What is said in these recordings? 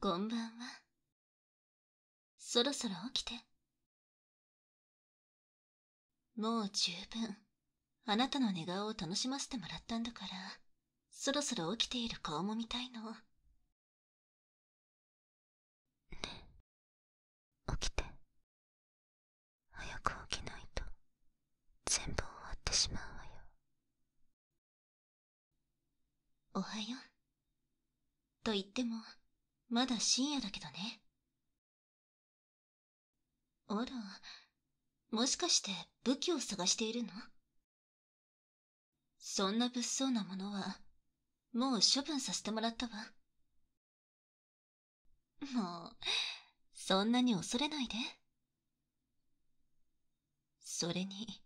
こんばんは。そろそろ起きて。もう十分、あなたの寝顔を楽しませてもらったんだから、そろそろ起きている顔も見たいの。ねえ起きて早く起きないと全部終わってしまうわよおはようと言ってもまだ深夜だけどねあらもしかして武器を探しているのそんな物騒なものは、もう処分させてもらったわ。もう、そんなに恐れないで。それに、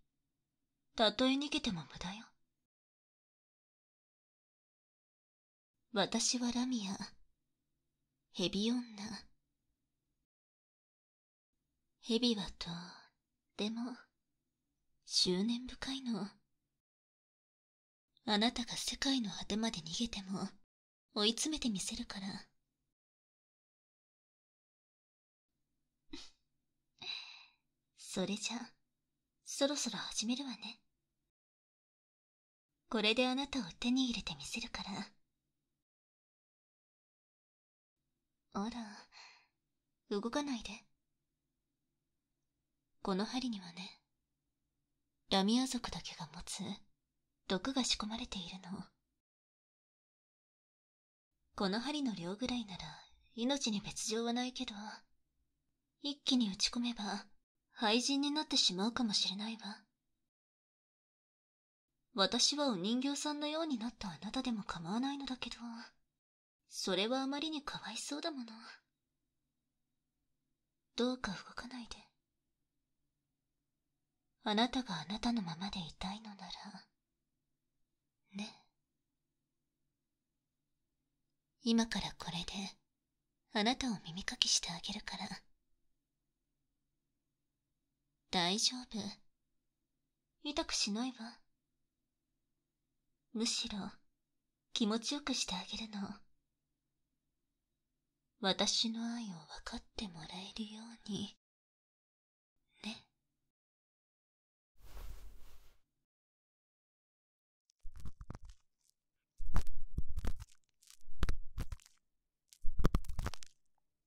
たとえ逃げても無駄よ。私はラミア、ヘビ女。蛇はと、でも、執念深いの。あなたが世界の果てまで逃げても、追い詰めてみせるから。それじゃ、そろそろ始めるわね。これであなたを手に入れてみせるから。あら、動かないで。この針にはね、ラミア族だけが持つ毒が仕込まれているの。この針の量ぐらいなら命に別状はないけど、一気に打ち込めば廃人になってしまうかもしれないわ。私はお人形さんのようになったあなたでも構わないのだけど。それはあまりにかわいそうだもの。どうか動かないで。あなたがあなたのままでいたいのなら、ね。今からこれで、あなたを耳かきしてあげるから。大丈夫。痛くしないわ。むしろ、気持ちよくしてあげるの。私の愛を分かってもらえるように、ね。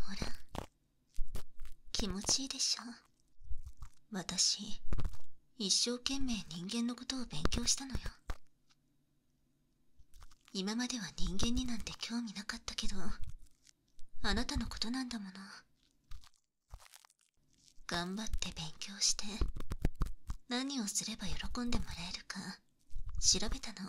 ほら気持ちいいでしょ私一生懸命人間のことを勉強したのよ今までは人間になんて興味なかったけどあなたのことなんだもの頑張って勉強して何をすれば喜んでもらえるか調べたの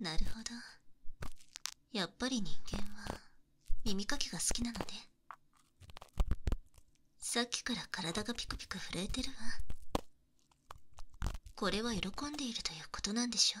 なるほどやっぱり人間は耳かきが好きなのねさっきから体がピクピク震えてるわこれは喜んでいるということなんでしょ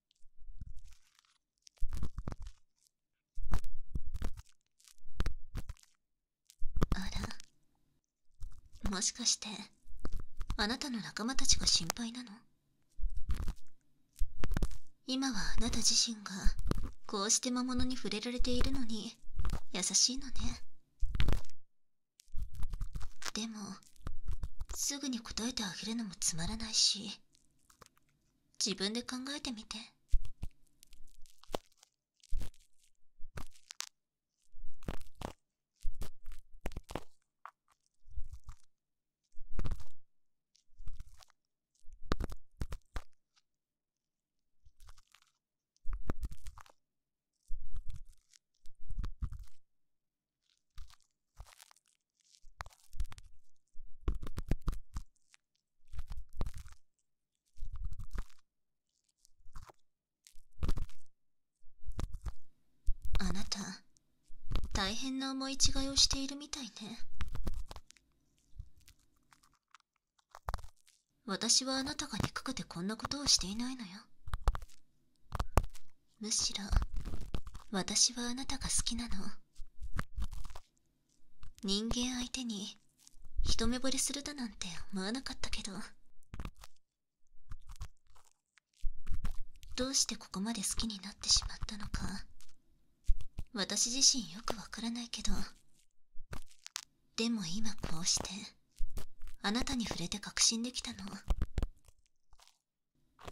あらもしかしてあなたの仲間たちが心配なの今はあなた自身がこうして魔物に触れられているのに優しいのねでもすぐに答えてあげるのもつまらないし自分で考えてみてあなた大変な思い違いをしているみたいね私はあなたが憎くてこんなことをしていないのよむしろ私はあなたが好きなの人間相手に一目ぼれするだなんて思わなかったけどどうしてここまで好きになってしまったのか私自身よくわからないけどでも今こうしてあなたに触れて確信できたの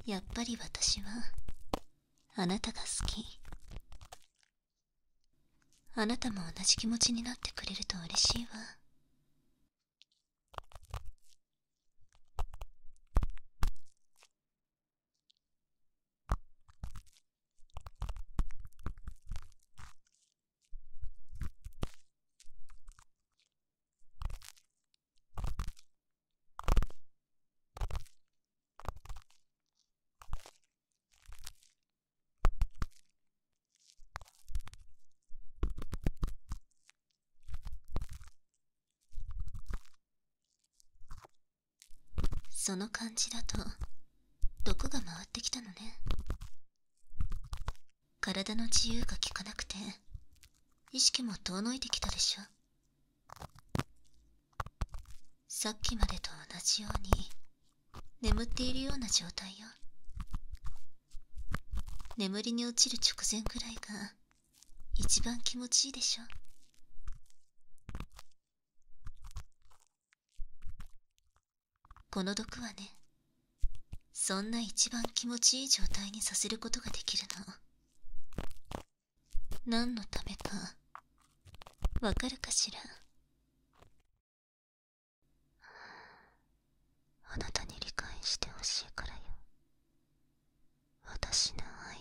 やっぱり私はあなたが好きあなたも同じ気持ちになってくれると嬉しいわその感じだと毒が回ってきたのね体の自由が利かなくて意識も遠のいてきたでしょさっきまでと同じように眠っているような状態よ眠りに落ちる直前くらいが一番気持ちいいでしょこの毒はねそんな一番気持ちいい状態にさせることができるの何のためかわかるかしらあなたに理解してほしいからよ私の愛を。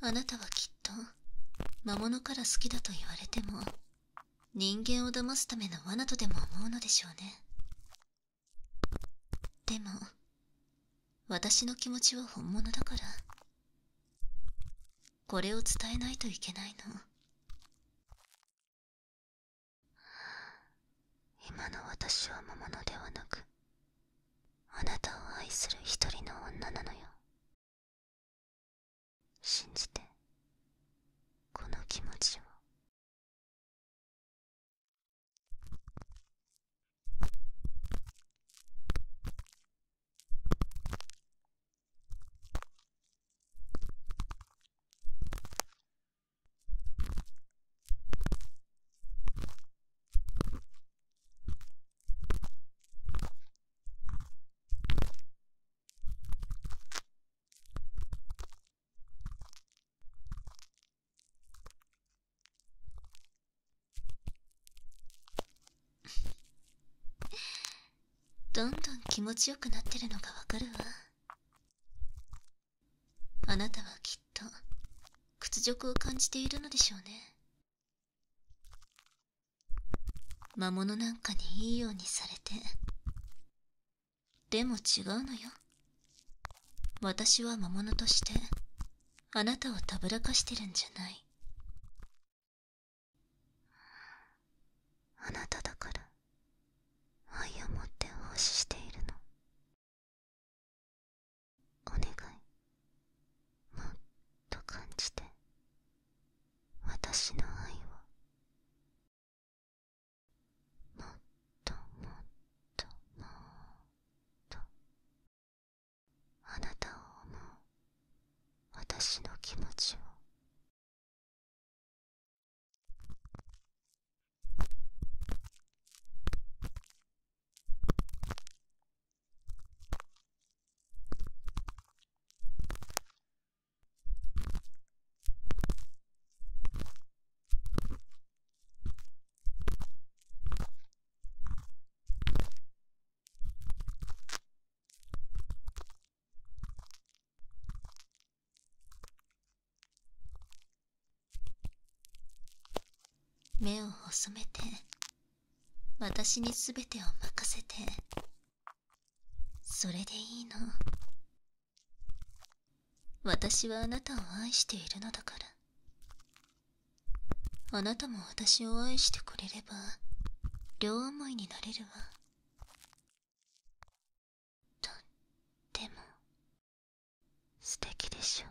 あなたはきっと魔物から好きだと言われても人間を騙すための罠とでも思うのでしょうねでも私の気持ちは本物だからこれを伝えないといけないの今の私は魔物ではなくあなたを愛する一人の女なのよ信じてこの気持ちをどんどん気持ちよくなってるのがわかるわあなたはきっと屈辱を感じているのでしょうね魔物なんかにいいようにされてでも違うのよ私は魔物としてあなたをたぶらかしてるんじゃないあなただから愛を持って奉仕しているのお願いもっと感じて私の愛をもっともっともっとあなたを思う私の気持ちを目を細めて私に全てを任せてそれでいいの私はあなたを愛しているのだからあなたも私を愛してくれれば両思いになれるわとっても素敵でしょう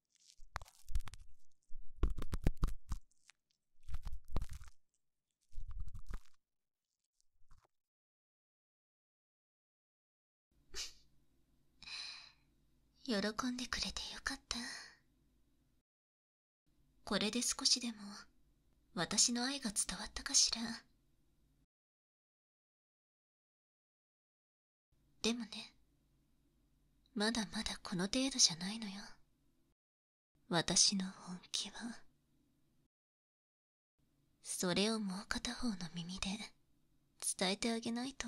喜んでくれてよかったこれで少しでも私の愛が伝わったかしらでもねまだまだこの程度じゃないのよ私の本気はそれをもう片方の耳で伝えてあげないと。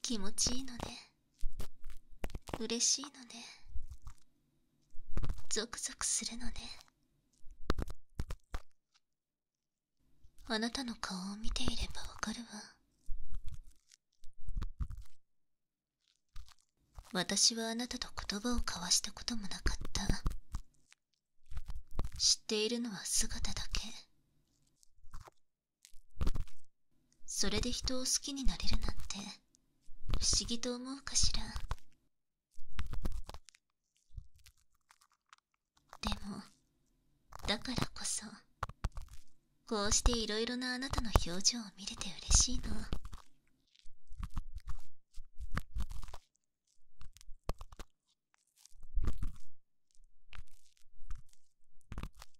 気持ちいいのね嬉しいのねゾクゾクするのねあなたの顔を見ていればわかるわ私はあなたと言葉を交わしたこともなかった知っているのは姿だけそれで人を好きになれるなんて不思議と思うかしらでもだからこそこうしていろいろなあなたの表情を見れて嬉しいの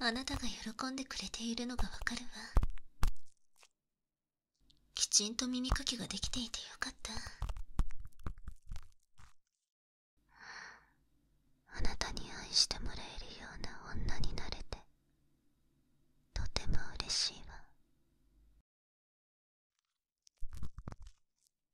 はあなたが喜んでくれているのがわかるわきちんと耳かきができていてよかったあなたに愛してもらえるような女になれてとても嬉しいわ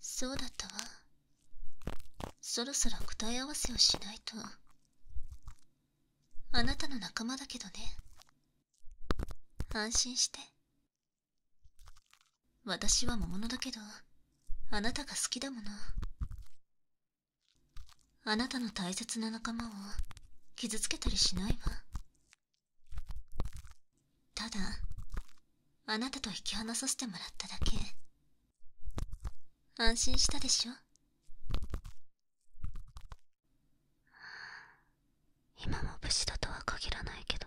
そうだったわそろそろ答え合わせをしないとあなたの仲間だけどね安心して私は魔物だけどあなたが好きだものあなたの大切な仲間を傷つけたりしないわただあなたと引き離させてもらっただけ安心したでしょ今も無事だとは限らないけど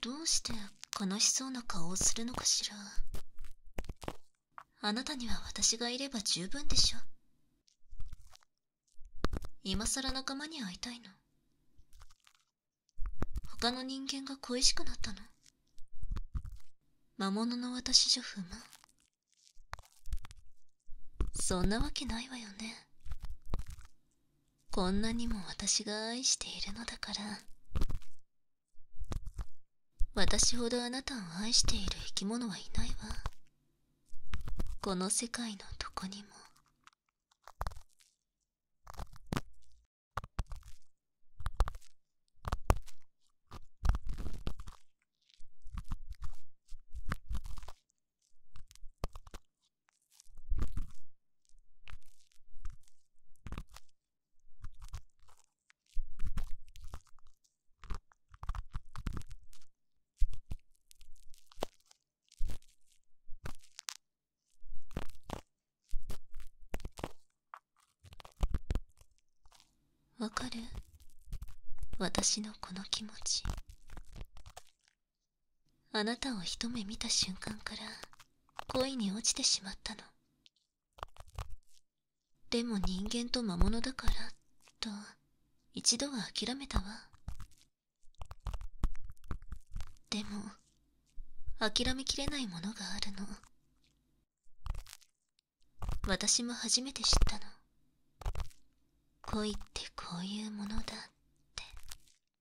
どうして悲しそうな顔をするのかしらあなたには私がいれば十分でしょ今さら仲間に会いたいの他の人間が恋しくなったの魔物の私じゃ不満そんなわけないわよねこんなにも私が愛しているのだから私ほどあなたを愛している生き物はいないわこの世界のどこにもわかる私のこの気持ちあなたを一目見た瞬間から恋に落ちてしまったのでも人間と魔物だからと一度は諦めたわでも諦めきれないものがあるの私も初めて知ったの恋ってこういうものだって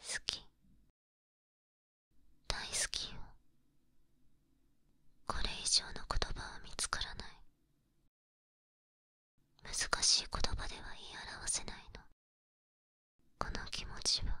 好き大好きよこれ以上の言葉は見つからない難しい言葉では言い表せないのこの気持ちは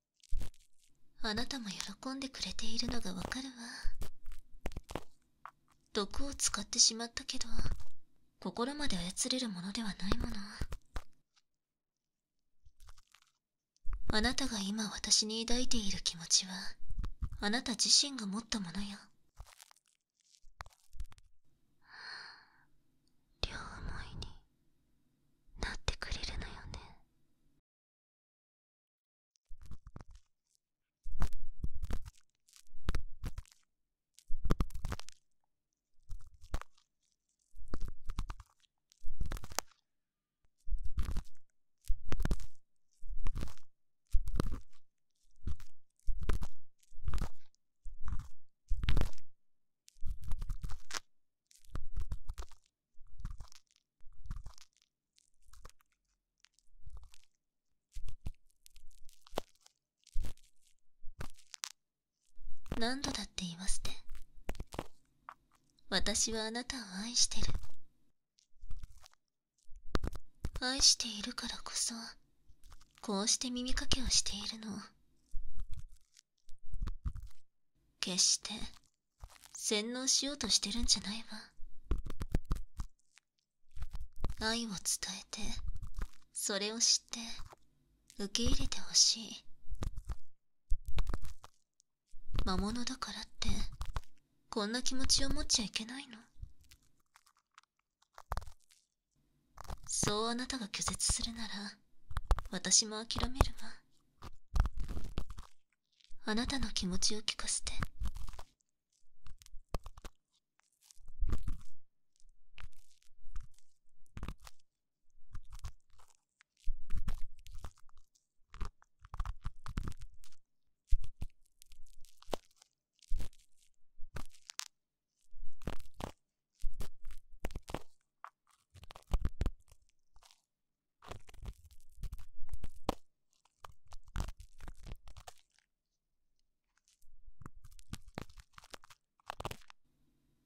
あなたも喜んでくれているのがわかるわ毒を使ってしまったけど心まで操れるものではないものあなたが今私に抱いている気持ちはあなた自身が持ったものよ両思いになってくれるのよね何度だって言わせて私はあなたを愛してる愛しているからこそこうして耳かけをしているの決して洗脳しようとしてるんじゃないわ愛を伝えてそれを知って受け入れてほしい魔物だからってこんな気持ちを持っちゃいけないのそうあなたが拒絶するなら私も諦めるわあなたの気持ちを聞かせて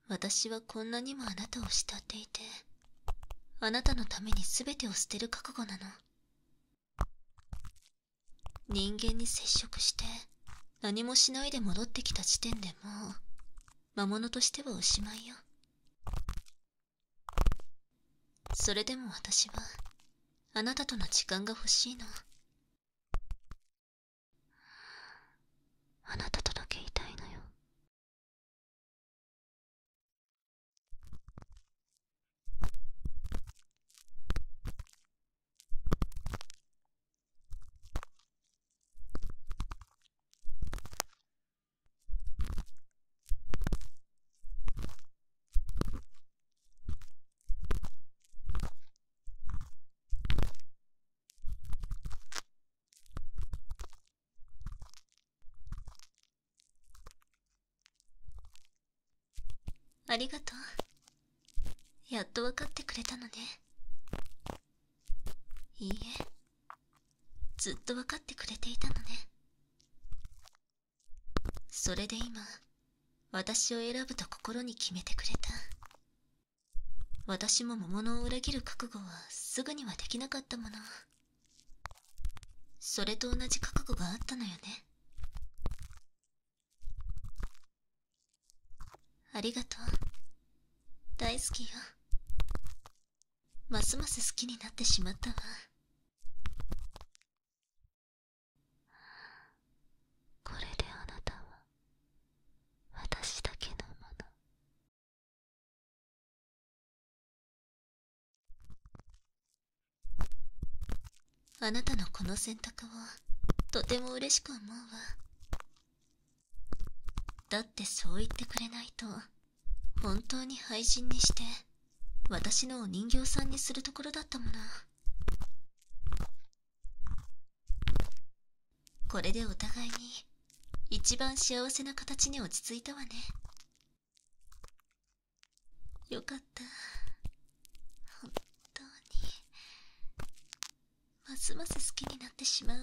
私はこんなにもあなたを慕っていてあなたのために全てを捨てる覚悟なの人間に接触して何もしないで戻ってきた時点でもう魔物としてはおしまいよそれでも私はあなたとの時間が欲しいのあなたとだけいたいのよありがとうやっと分かってくれたのねいいえずっと分かってくれていたのねそれで今私を選ぶと心に決めてくれた私も桃のを裏切る覚悟はすぐにはできなかったものそれと同じ覚悟があったのよねありがとう大好きよますます好きになってしまったわこれであなたは私だけのものあなたのこの選択をとても嬉しく思うわだってそう言ってくれないと本当に廃人にして私のお人形さんにするところだったものこれでお互いに一番幸せな形に落ち着いたわねよかった本当にますます好きになってしまうわ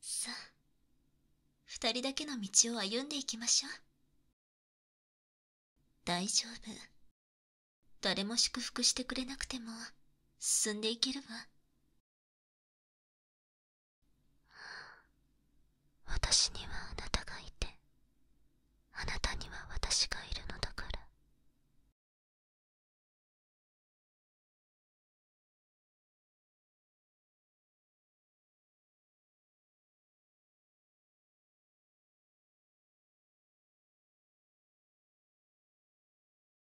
さあ二人だけの道を歩んでいきましょう大丈夫誰も祝福してくれなくても進んでいけるわ私にはあなたがいてあなたには私がいるのだから